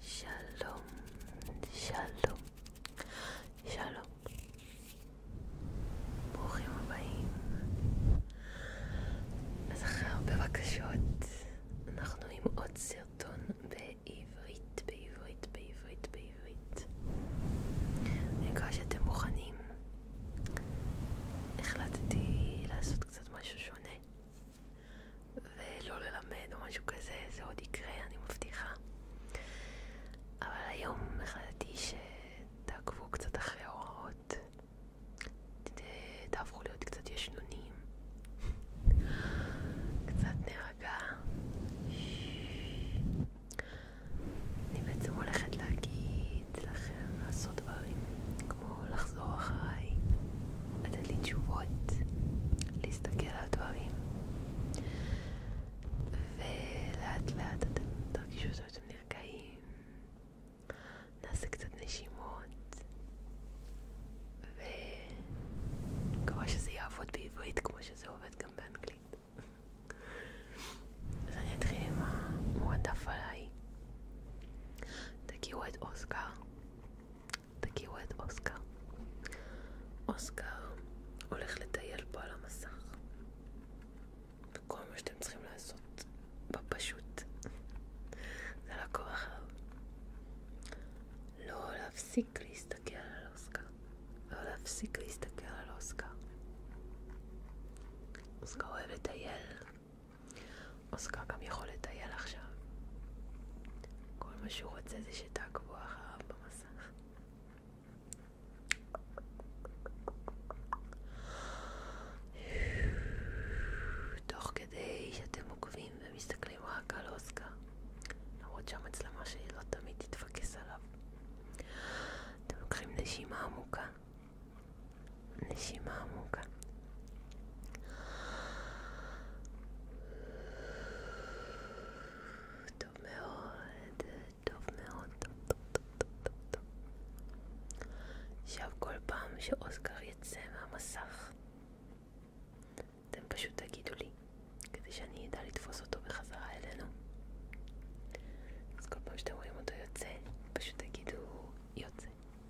שלום, שלום, שלום. ברוכים הבאים. אז אחרי הרבה בקשות, אנחנו עם עוד סרטון בעברית, בעברית, בעברית, בעברית. אני מקווה שאתם מוכנים. החלטתי לעשות קצת משהו שונה. ולא ללמד או משהו כזה, זה עוד יקרה, אני מבטיחה. אבל היום החלטתי שתעקבו קצת אחרי ההוראות, תהפכו להיות קצת ישנונים, קצת נרגע. אני בעצם הולכת להגיד לכם לעשות דברים כמו לחזור אחריי, לתת לי תשובות, להסתכל על הדברים ולאט לאט אתם תרגישו שאתם נרגעים, נעשה קצת נשימות ומקווה שזה יעבוד בעברית כמו שזה עובד גם באנגלית אז אני אתחיל עם המועדף עליי תכירו את אוסקר תגיעו את אוסקר. אוסקר הולך לטייל פה על המסך. וכל מה שאתם צריכים לעשות בפשוט זה לעקוב אחריו. לא להפסיק להסתכל על אוסקר. לא להפסיק להסתכל על אוסקר. אוסקר אוהב לטייל, אוסקר גם יכול לטייל עכשיו. כל מה שהוא רוצה זה שתעקבו כדי שאתם עוקבים ומסתכלים רק על אוסקר, למרות שהמצלמה שלי לא תמיד תתפקס נשימה עמוקה, נשימה עמוקה. טוב מאוד, טוב מאוד, טוב, טוב, טוב, טוב, טוב. עכשיו כל פעם שאוסקר יצא מהמסך, אתם פשוט תגידו לי, כדי שאני אדע לתפוס אותו בחזרה אלינו. אז כל פעם שאתם רואים אותו יוצא, פשוט תגידו יוצא,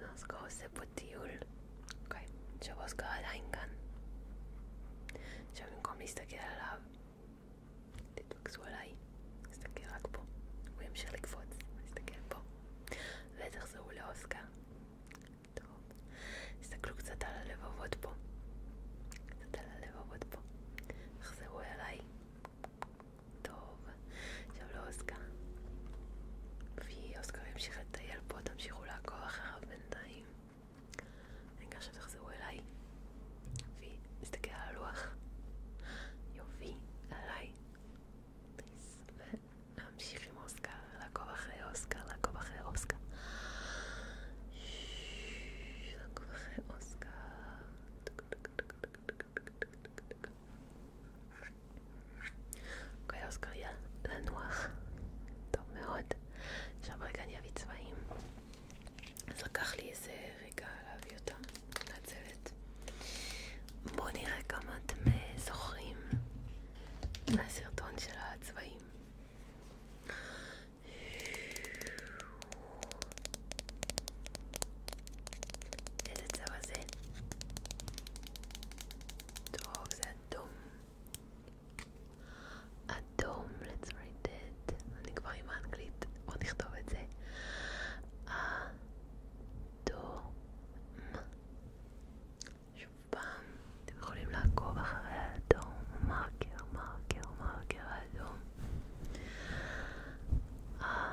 Let's go ספוטיול. אוקיי, שבוסקר עדיין כאן. עכשיו במקום להסתכל עליו, תתפקסו עליי, תסתכל רק פה. הוא ימשיך לקפוץ, תסתכל פה. ותחזרו לאוסקר. טוב. תסתכלו קצת על הלבבות פה. קצת על הלבבות פה. תחזרו אליי. טוב, עכשיו לאוסקר. ואוסקר ימשיך לטייל פה, תמשיכו לעקוב אחריו בינתיים. אני מקווה שתחזרו אליי. ונסתכל על הלוח. יופי, עליי. ונמשיך עם אוסקר, לעקוב אחרי אוסקר, לעקוב אחרי אוסקר. לעקוב אחרי אוסקר. קויוסקריה, אוקיי, לנוח. טוב מאוד. עכשיו רגע אני אביא צבעים. אז לקח לי איזה רגע להביא אותה, מתנצלת. בואו נראה כמה אתם אה, זוכרים מהסרטון של הצבעים. Dedesi Vasil Dog זה אדום אדום, let's write it אני כבר עם האנגלית, בוא נכתוב את זה אדום שוב פעם, אתם יכולים לעקוב אחרי האדום מרקר, מרקר, מרקר האדום אדום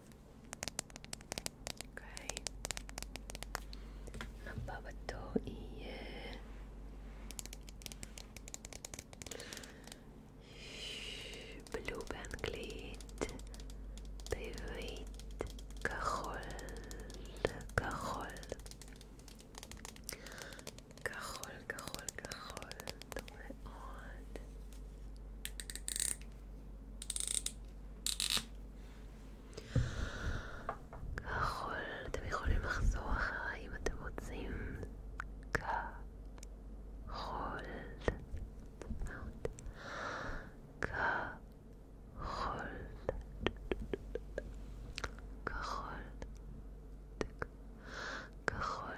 אוקיי. הבא בתור יהיה... בלו באנגלית, בעברית, כחול, כחול. כחול, כחול, כחול, טוב מאוד. כחול, אתם יכולים לחזור אחריי אם אתם רוצים. כחול. כחול. כחול. כחול. כחול.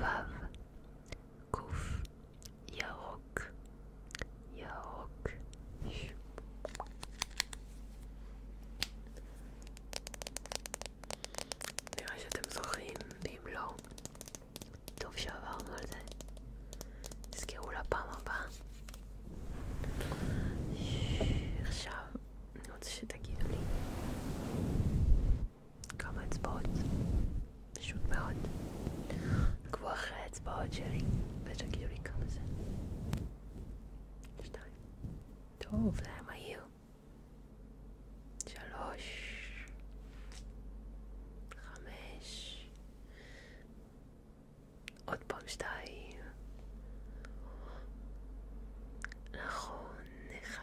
וו, קוף, ירוק, ירוק. נראה שאתם זוכרים, ואם לא, טוב שעברנו על זה. תזכרו לפעם הבאה. עכשיו אני רוצה שתגידו לי כמה אצבעות, פשוט מאוד. עקבו אחרי האצבעות שלי, ותגידו לי כמה זה. שתיים. טוב, זה היה מהיר. שלוש. חמש. עוד פעם שתיים. נכון, אחד.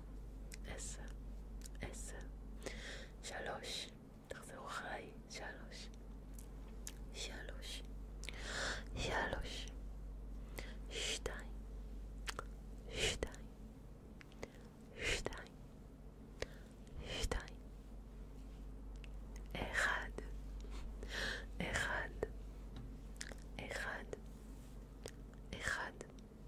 עשר, עשר, עשר, שלוש, תחזרו אחריי, שלוש, שלוש, שלוש, שתיים, שתיים, שתיים, שתיים, אחד, אחד, אחד, אחד.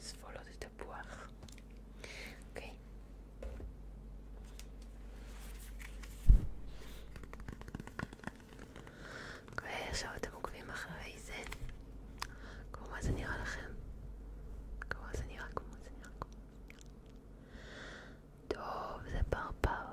סבולות התפוח. אוקיי. אוקיי, עכשיו אתם עוקבים אחרי זה. כמו מה זה נראה לכם? כמו זה נראה, כמו זה נראה. טוב, זה פרפר.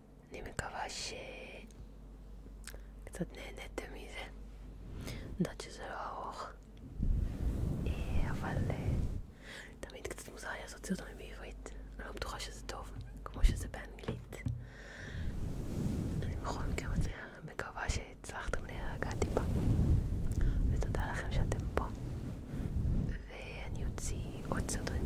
אני מקווה שקצת נהניתם מזה. אני יודעת שזה לא ארוך, אה, אבל אה, תמיד קצת מוזר לי לעשות סרטונים בעברית. אני לא בטוחה שזה טוב, כמו שזה באנגלית. אני בכל מקרה מקווה שהצלחתם להירגע טיפה. ותודה לכם שאתם פה. ואני אוציא עוד סרטונים